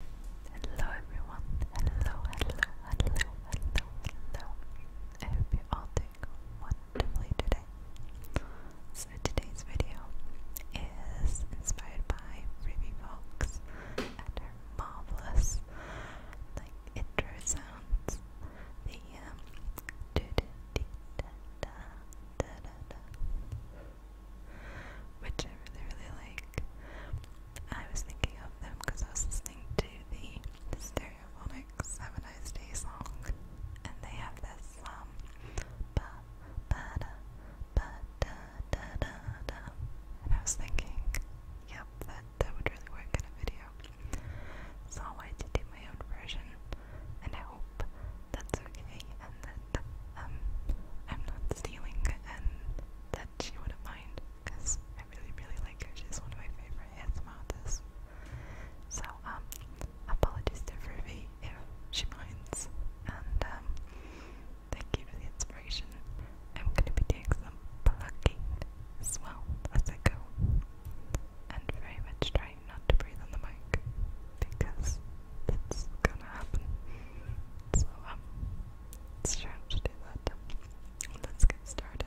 Hello everyone, hello, hello, hello, hello, hello. I hope you're doing wonderfully today. So today's video is inspired by Ruby Fox and her marvelous like intro sounds. The da da da da da da which I really, really like. I was thinking of them because I was listening to the Stereophonics Have a Nice Day song, and they have this um, and I was thinking, yep, that that would really work in a video. So I wanted my own version, and I hope that's okay um I'm not stealing and that she wouldn't mind because I really really like her. She's one of my favorite ASMR So um apologies to Ruby if she minds and um thank you for the inspiration. I'm gonna be doing some plucking as well as I go. And very much trying not to breathe on the mic because that's gonna happen. So um, it's time to do that. Let's get started.